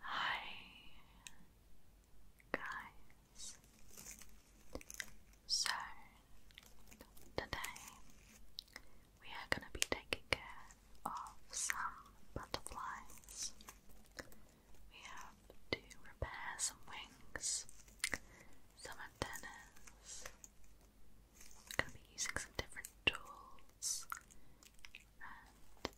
Hi guys. So today we are going to be taking care of some butterflies. We have to repair some wings, some antennas. I'm going to be using some different tools um,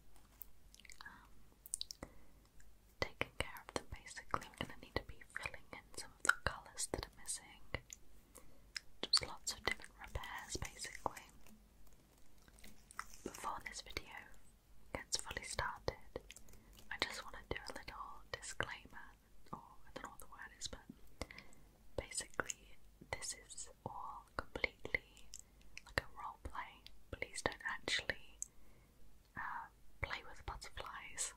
taking care of them basically. I'm going to need to be filling in some of the colours that are missing. Just lots of different repairs basically. Before this video gets fully started, I just want to do a little disclaimer, or I don't know what the word is, but basically, this is all completely like a role play. Please don't actually uh, play with butterflies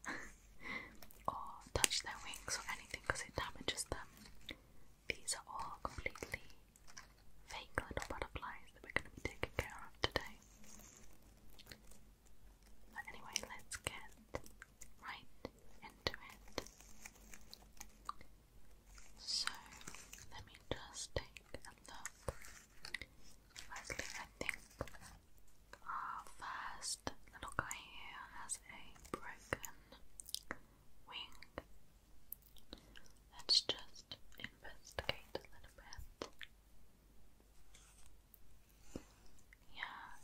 or touch their wings or anything because it damages them. These are all completely fake little butterflies that we're going to be taking care of today. But anyway, let's get right into it. So let me just take a look. Firstly, I think our first little guy here has a broken wing. Let's just investigate a little bit. Yeah,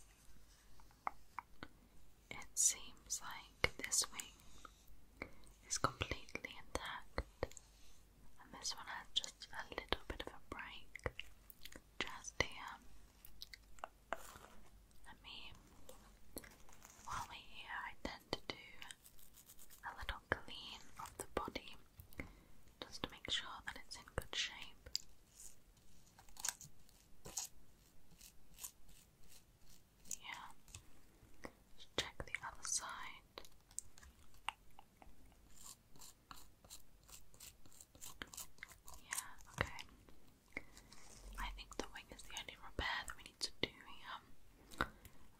it seems like this wing is completely intact and this one has just a little bit of a break just here. Let me, while we're here, I tend to do a little clean of the body just to make sure that it's in good shape. Yeah, check the other side. Yeah, okay. I think the wing is the only repair that we need to do here.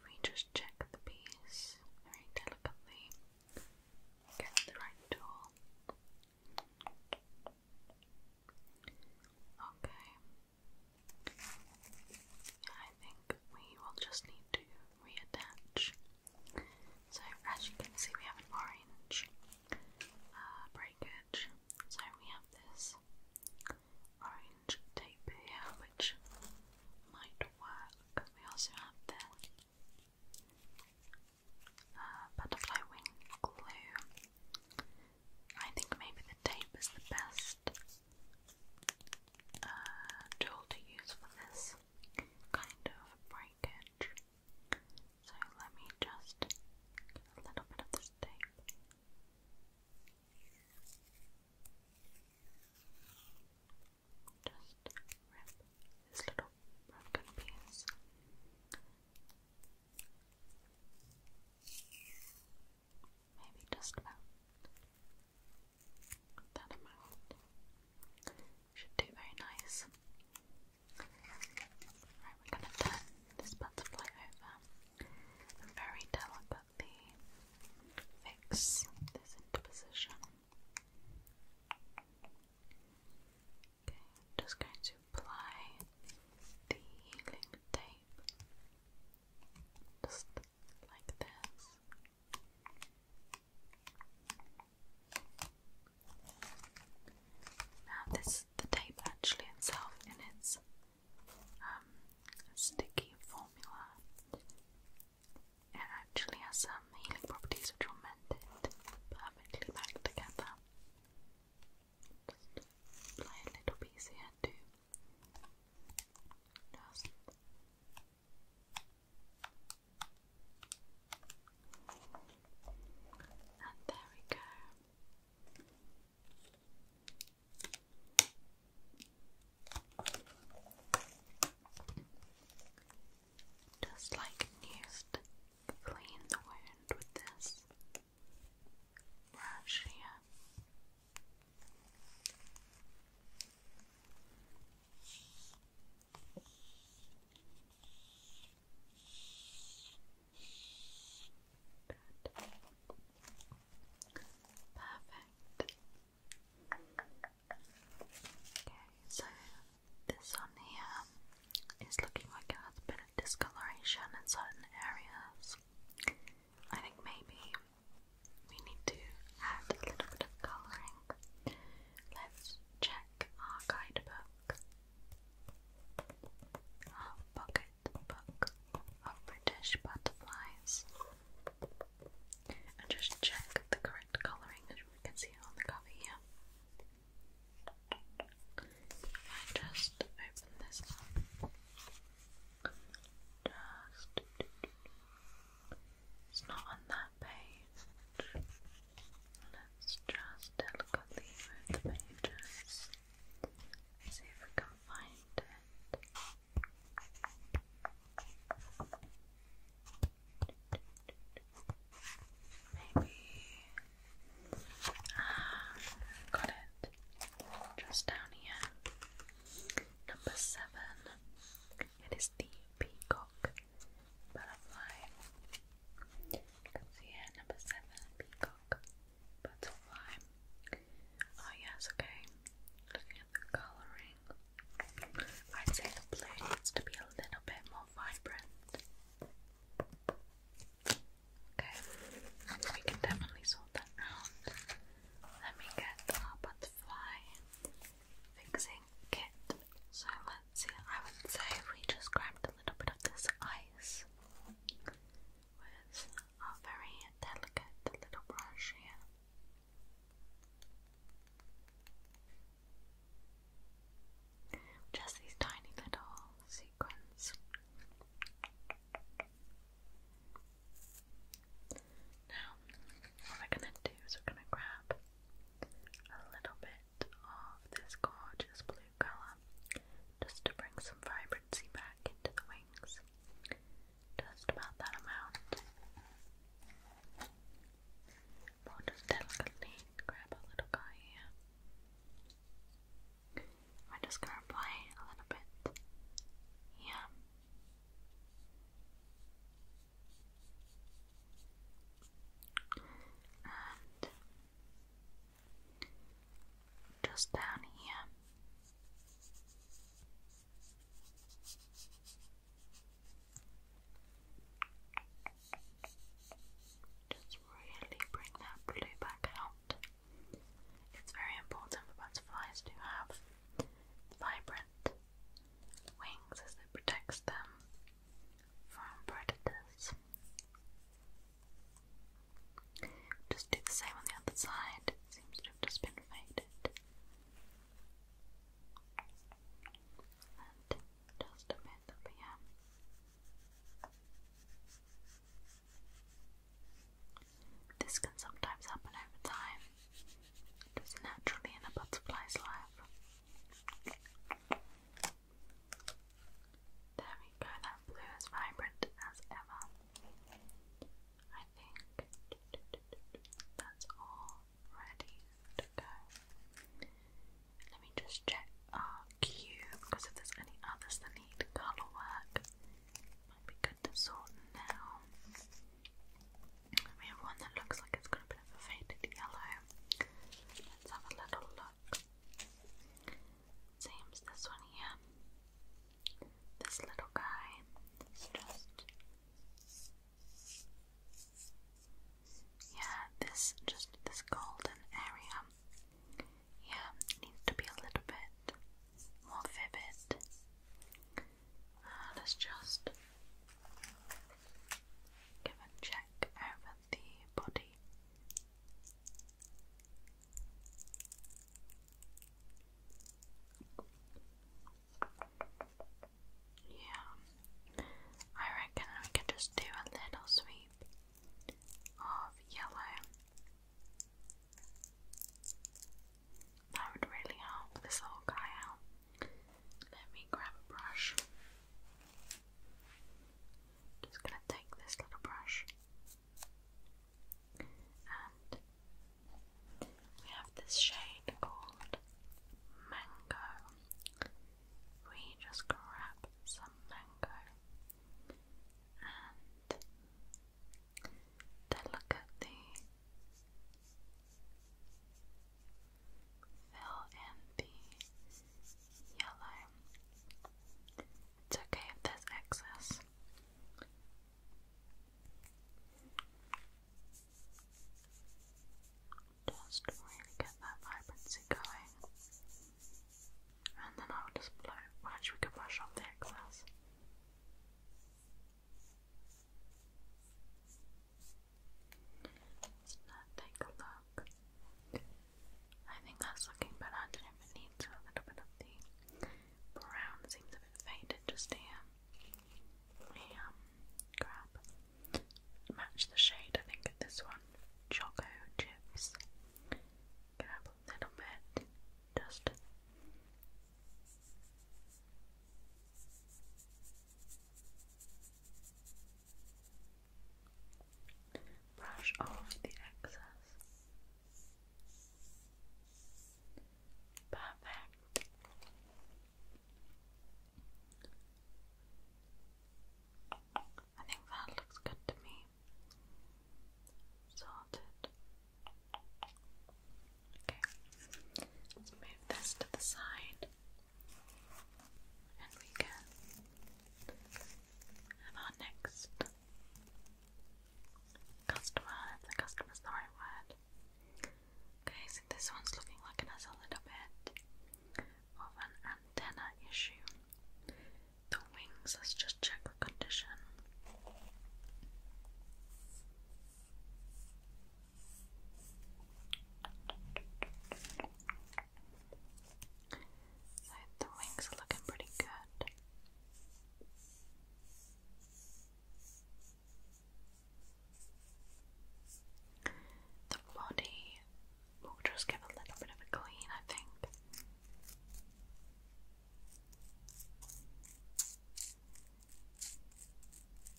we just check the piece very delicately, get the right tool. Okay. I think we will just need to reattach. So, as you can see, we have an orange uh, breakage. So, we have this orange tape here, which might work. We also have the uh, butterfly wing glue. I think maybe the tape is the best uh, tool to use for this kind of breakage. So let me just get a little bit of this tape. Just rip this little broken piece. Maybe just about that amount. Should do very nice. Right, we're going to turn this butterfly over and very delicately fix this interposition. Okay, just going to apply the healing tape. Just like this. Now this the tape actually itself in its um, sticky formula. It actually has some healing properties which will mend it perfectly back together. Just apply little piece here too. Just and there we go. Just like used, clean the wound with this brush here. Perfect. Okay, so this one here is looking like it has a bit of discoloration in certain areas. I think maybe we need to add a little bit of colouring. Let's check our guidebook. Our pocket book of British butterflies. And just check the correct colouring as we can see on the cover here. I just open this it's not on that page. Let's just delicately move the pages. see if we can find it. Maybe. Ah, got it. Just down here. Number seven. It is the peacock butterfly. You can number seven, peacock butterfly. Oh yes, okay. Looking at the colouring, I'd say the blue needs to be a little bit more vibrant. Okay, we can definitely sort that out. Let me get our butterfly fixing kit. So let's see, I would say we just grabbed a little bit of this ice with our very delicate little brush here. Just these tiny little sequins. Now, what we're going to do is we're going to grab a little bit of this gorgeous blue colour just to bring some vibrancy back into the wings. Just about that amount. More just delicately grab a little guy here. We're just going to apply a little bit here and just down here. Just really bring that blue back out. It's very important for butterflies to have vibrant wings as it protects them from predators. Just do the same on the other side, seems to have just been faded. just a bit up here. This can sometimes happen over time, it is naturally in a butterfly's life. There we go, that blue is vibrant as ever. I think that's all ready to go. Let me just check our cube because if there's any others that need colour work, might be good to sort now. We have one that looks like it's got a bit of a faded yellow. Let's have a little look. Same this one here. This little guy just. Yeah, this just this golden area. Yeah, needs to be a little bit more vivid. Uh, let's just give a check over the body. Yeah, I reckon we could just do a little sweep of yellow. That would really help this old guy out. Let me grab a brush. Just gonna take this little brush. And we have this shade called Mango. We just grab some mango and then look at the fill in the yellow. It's okay if there's excess. Just really get that vibrancy going. And then I'll just blow. Well, actually, we could brush off the excess. Let's take a look. I think that's looking better. I don't know if it needs a little bit of the brown. Seems a bit faded just here. We um, grab, match the shade. I think this one, Choco Chips. Grab a little bit, just. Brush off the excess. Perfect. I think that looks good to me. Sorted. Okay. Let's move this to the side and we can have our next customer, if the customer's the right word. Okay, so this one's looking like it has a little bit of an antenna issue. The wings, let's just check the condition the wings are looking pretty good. The body will just give a little bit of a clean, I think.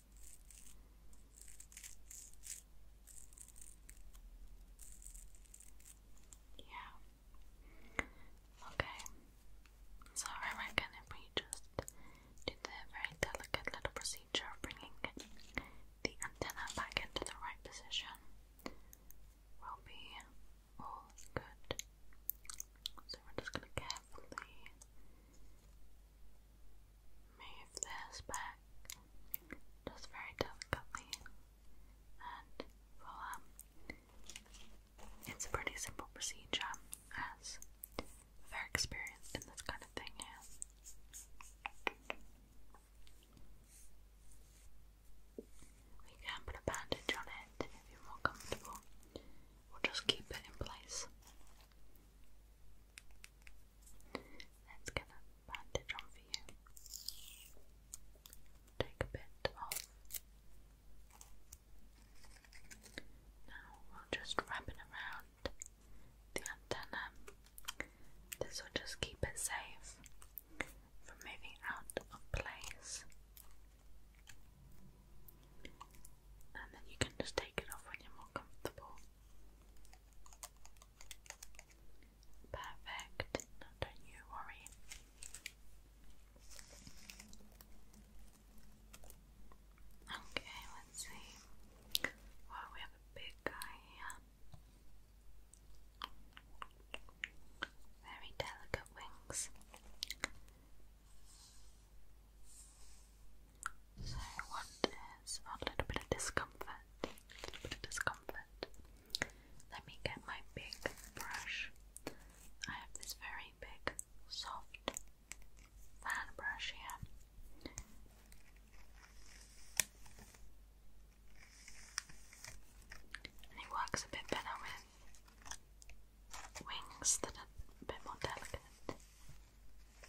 Yeah. Okay. So I reckon if we just did the very delicate little procedure of bringing the antenna back into the right position, we'll be all good. So we're just going to carefully move this back just very delicately and we um, it's a pretty simple procedure as very experienced in this kind of thing here. We can put a bandage on it if you're more comfortable. We'll just keep it in place. Let's get a bandage on for you. Take a bit off. Now we'll just wrap it around the antenna. This will just keep it safe from moving out of place. And then you can just take it off when you're more comfortable. Perfect. don't you worry. Okay, let's see. Well, we have a big guy here. Very delicate wings. So what is a little bit of discomfort? A little bit of discomfort. Let me get my big brush. I have this very big, soft fan brush here. And it works a bit better with wings that are a bit more delicate. Okay,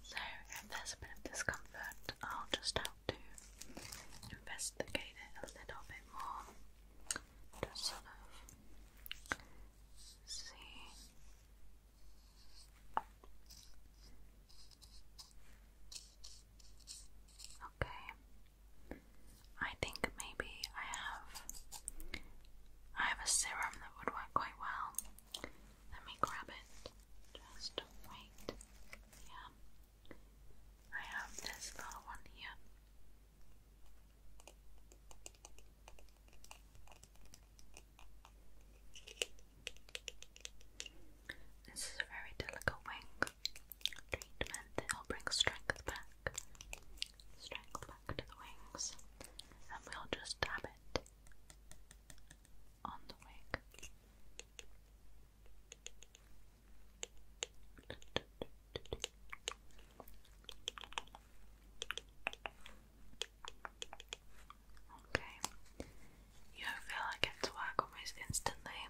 so if there's a bit of discomfort, I'll just have to investigate it a little bit more. Just sort of see. Okay. I think maybe I have I have a serum that would work quite well. Let me grab it. Just wait. Yeah. I have this little one here. This is a very delicate wing treatment that will bring strength back, strength back to the wings, and we'll just dab it on the wing. Okay, you feel like it's work almost instantly.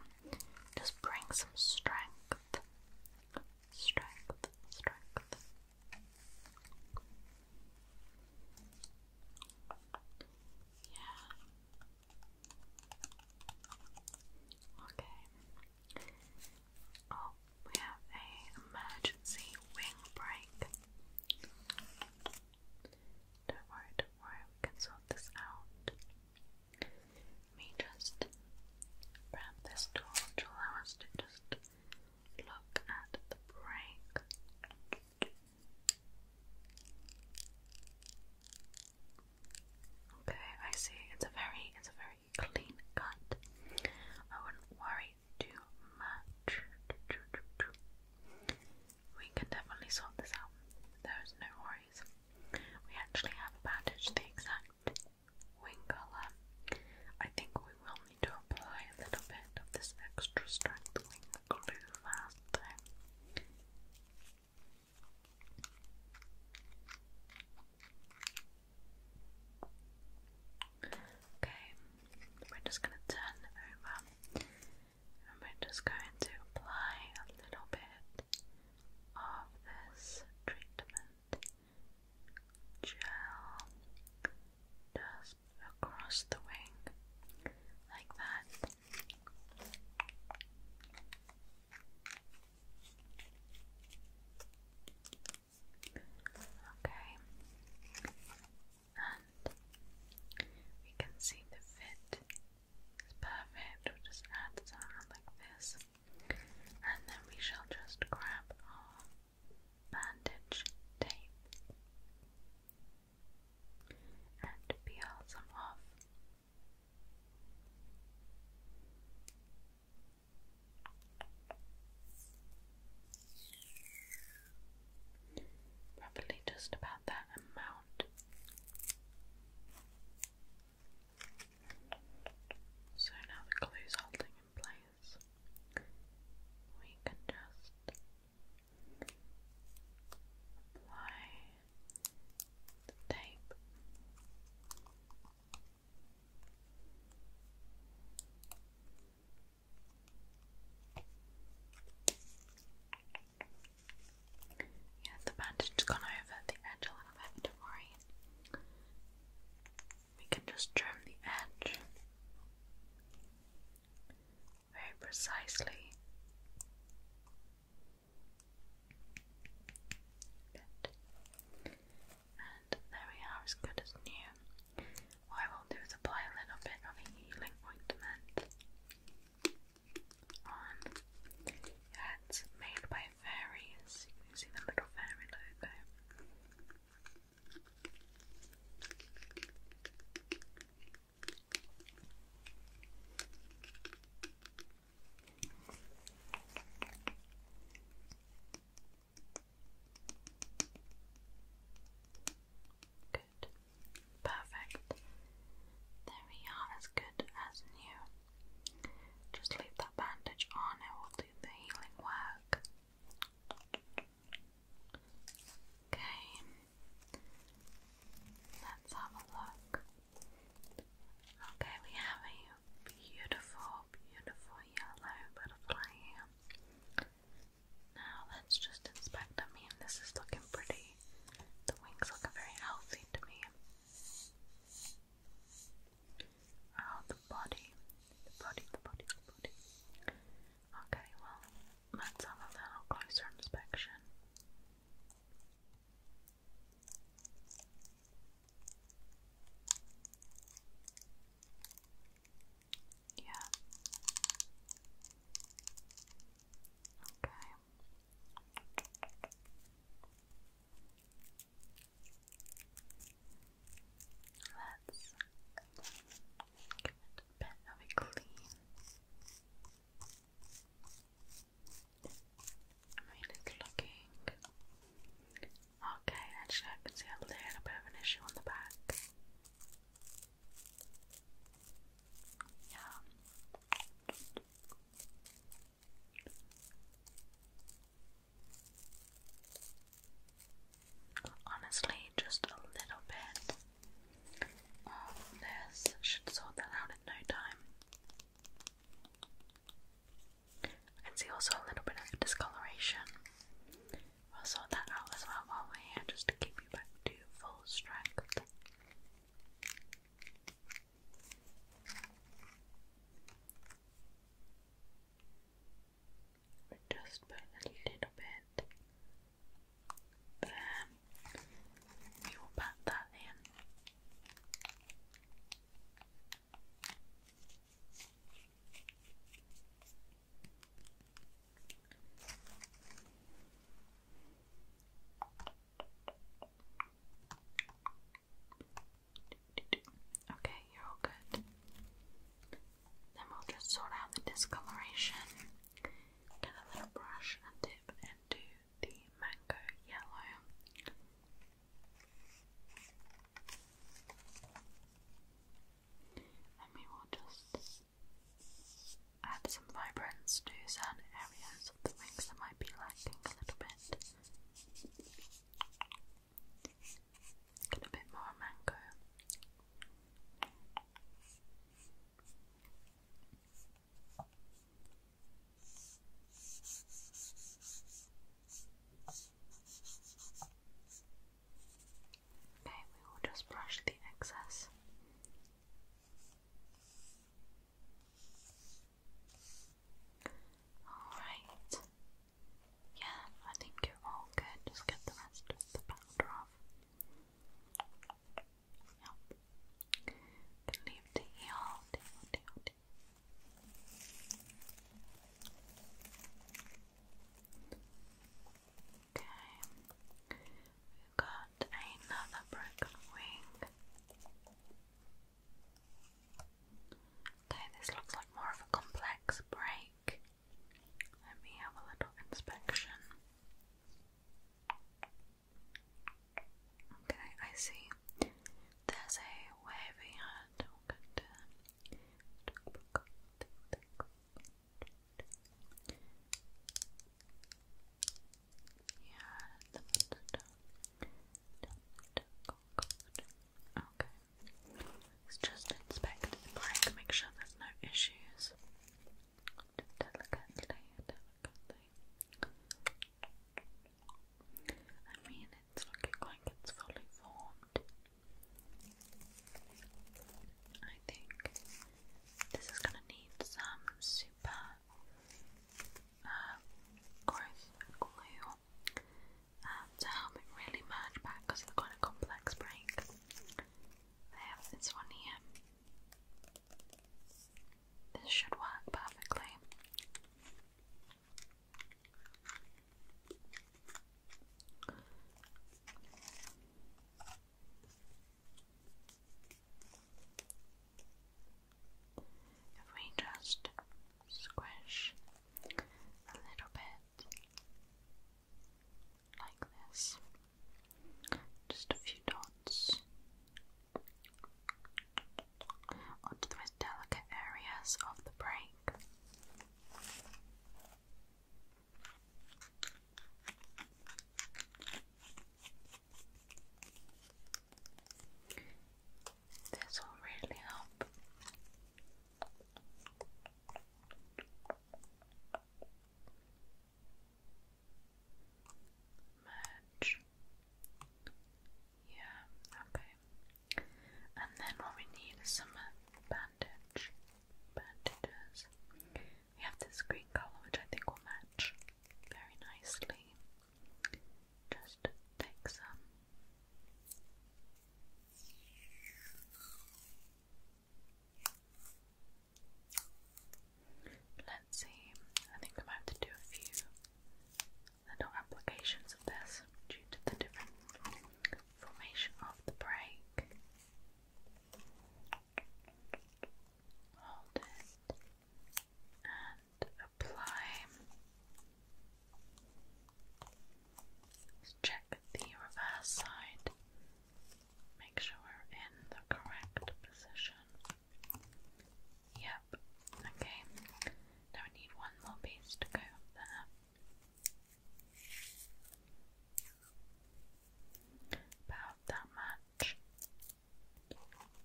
Just bring some strength. Strength, strength. Yeah. Okay. Oh, we have a emergency wing break. Don't worry, don't worry, we can sort this out. Let just grab this tool allow us to just look at the break. Okay, I see. It's a very, it's a very clean cut. I wouldn't worry too much. We can definitely sort this out. There is no worries. We actually have a bandaged the exact wing colour. I think we will need to apply a little bit of this extra strength glue fast though. Okay, we're just going to turn over we're just going to apply a little bit of this treatment gel just across the wing like that. Okay, and we can see the fit it's perfect. We'll just add something like this. And then we shall just grab our bandage tape and peel some off. Probably just about that amount around. So now the glue is holding in place. We can just apply the tape. Yeah, the bandage gone over the edge a little bit, don't worry. We can just trim the edge very precisely. And there we are, as good as new. What I will do is apply a little bit of a healing ointment on. it's made by fairies. You can see the little fairy logo. Good. Perfect. There we are, as good as new. Just leave that bandage on, it will do the healing work. Okay, let's have a look. Okay, we have a beautiful, beautiful yellow butterfly Now let's just inspect. I mean, this is looking pretty the wings look very healthy to me. Oh, the body. The body, the body, the body. Okay, well, let's have a little closer inspection. Yeah. Okay. Let's give it a clean. I mean, it's looking okay. Actually, I can see a little bit of an issue on the back. Yeah, Honestly, just a little bit of this should sort that out in no time. I can see also a little bit of discoloration. We'll sort that out as well while we just keep you back to full strength but just by a little bit. There, we will pat that in. Okay, you're all good. Then we'll just sort out the discoloration. Get a little brush and dip and do the mango yellow. And we will just add some vibrance to certain areas of the wings and might a little bit. a bit more mango. Okay, we will just brush the excess. Alright. Yeah, I think you're all good. Just get the rest of the powder off. Yep. Can leave the heel. Okay, we've got another broken wing. Okay, this looks like more of a complex break. Let me have a little inspection. Okay, I see. There's a wavy hand. Oh, yeah. Okay. just inspect the make sure there's no issues. Delicately, delicately. I mean, it's looking like it's fully formed. I think this is going to need some super uh, gross glue to help it really merge back because it's quite a complex break. I have this one here. This should work perfectly. If we just squish a little bit like this, just a few dots onto the most delicate areas of the break. This will really help. Merge. Yeah, okay. And then what we need is some uh, bandage. Bandages. We have this green colour which I think will match very nicely. Just take some. Let's see, I think I'm about to do a few little applications of this due to the different formation of the break. Hold it and apply. Let's check the reverse side. Make sure we're in the correct position. Yep. Okay. Now we need one more piece to go there. About that much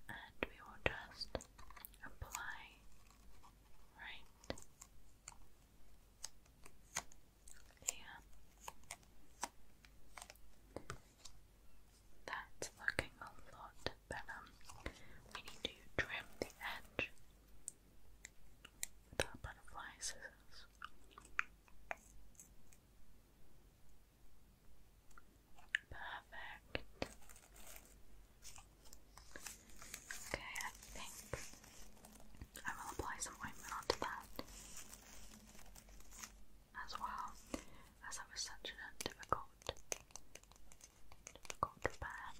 and we will just apply right here. That's looking a lot better. We need to trim the edge with our butterfly scissors. Perfect. Okay, I think I will apply some ointment onto that as well, as that was such a difficult, difficult repair.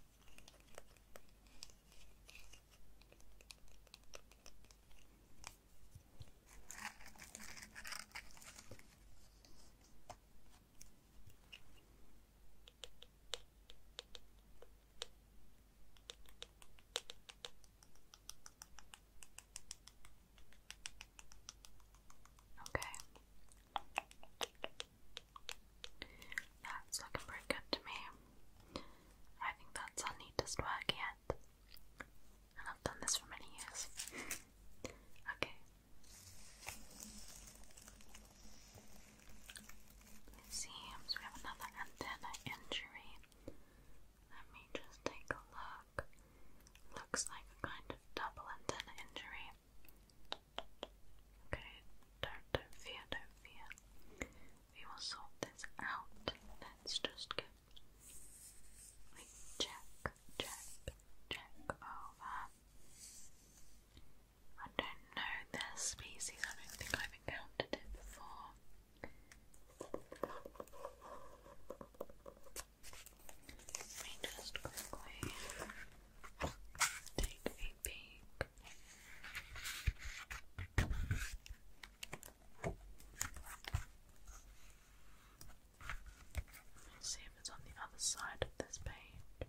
Okay. That's looking pretty good to me. I think that's our neatest work yet. And I've done this for many years. okay. It seems we have another antenna injury. Let me just take a look. Looks like a kind of double antenna injury. Okay, don't, fear, don't fear. We will sort this out. Let's just get. check, check, check over. I don't know this species, I don't think I've encountered it before. Let me just quickly take a peek. It's on the other side of this page.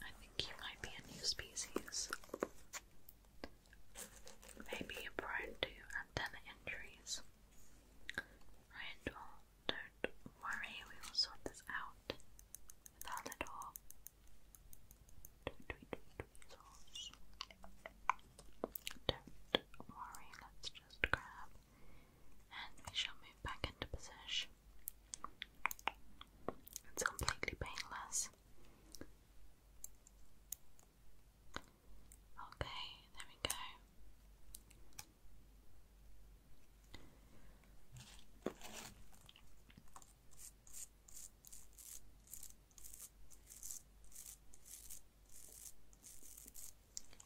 I think you might be a new species. Maybe you're prone to antenna injuries. Right, don't worry, we will sort this out with our little don't worry, let's just grab and we shall move back into position. It's completely painless. Okay, there we go.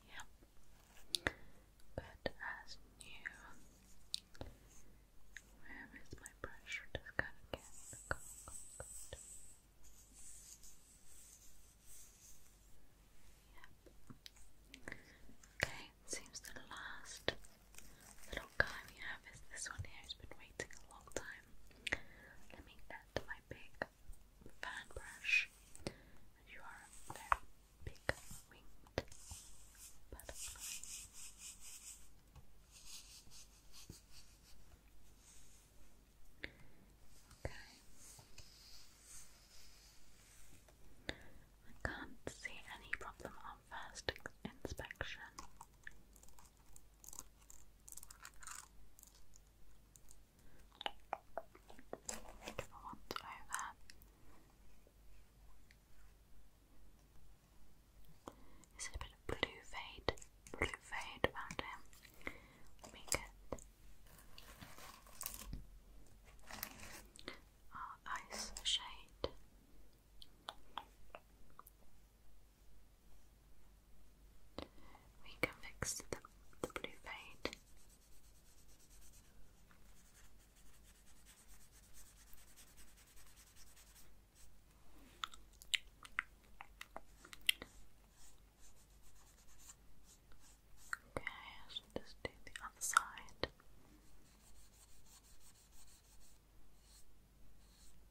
Yep. Good as new. Where is my brush? Just gotta get Yep. Okay, seems the last little guy we have is this one here who's been waiting a long time time. Let me get my big fan brush. you are a very big winged butterfly. Okay. I can't see any problem on first inspection. Whichever one's over. Is it a bit of blue fade? Blue fade around him. Let me ice shade. We can fix the, the blue fade. Okay, I should just do the other side.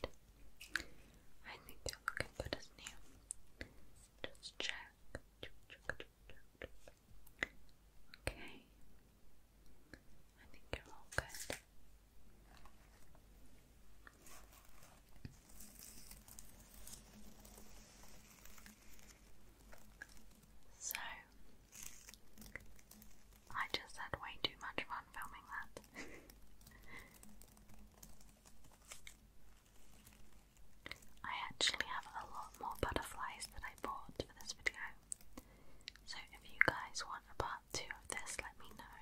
Good. I think you're looking good as new. Just check. Okay. I think you're all good. So, I just had way too much fun filming that. I actually have a lot more butterflies that I bought for this video. So if you guys want a part two of this, let me know.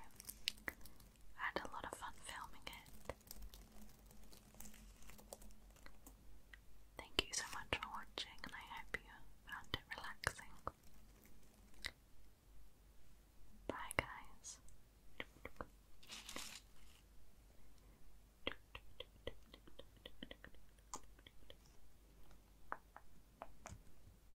I had a lot of fun filming it. Thank you so much for watching, and I hope you found it relaxing. Bye, guys.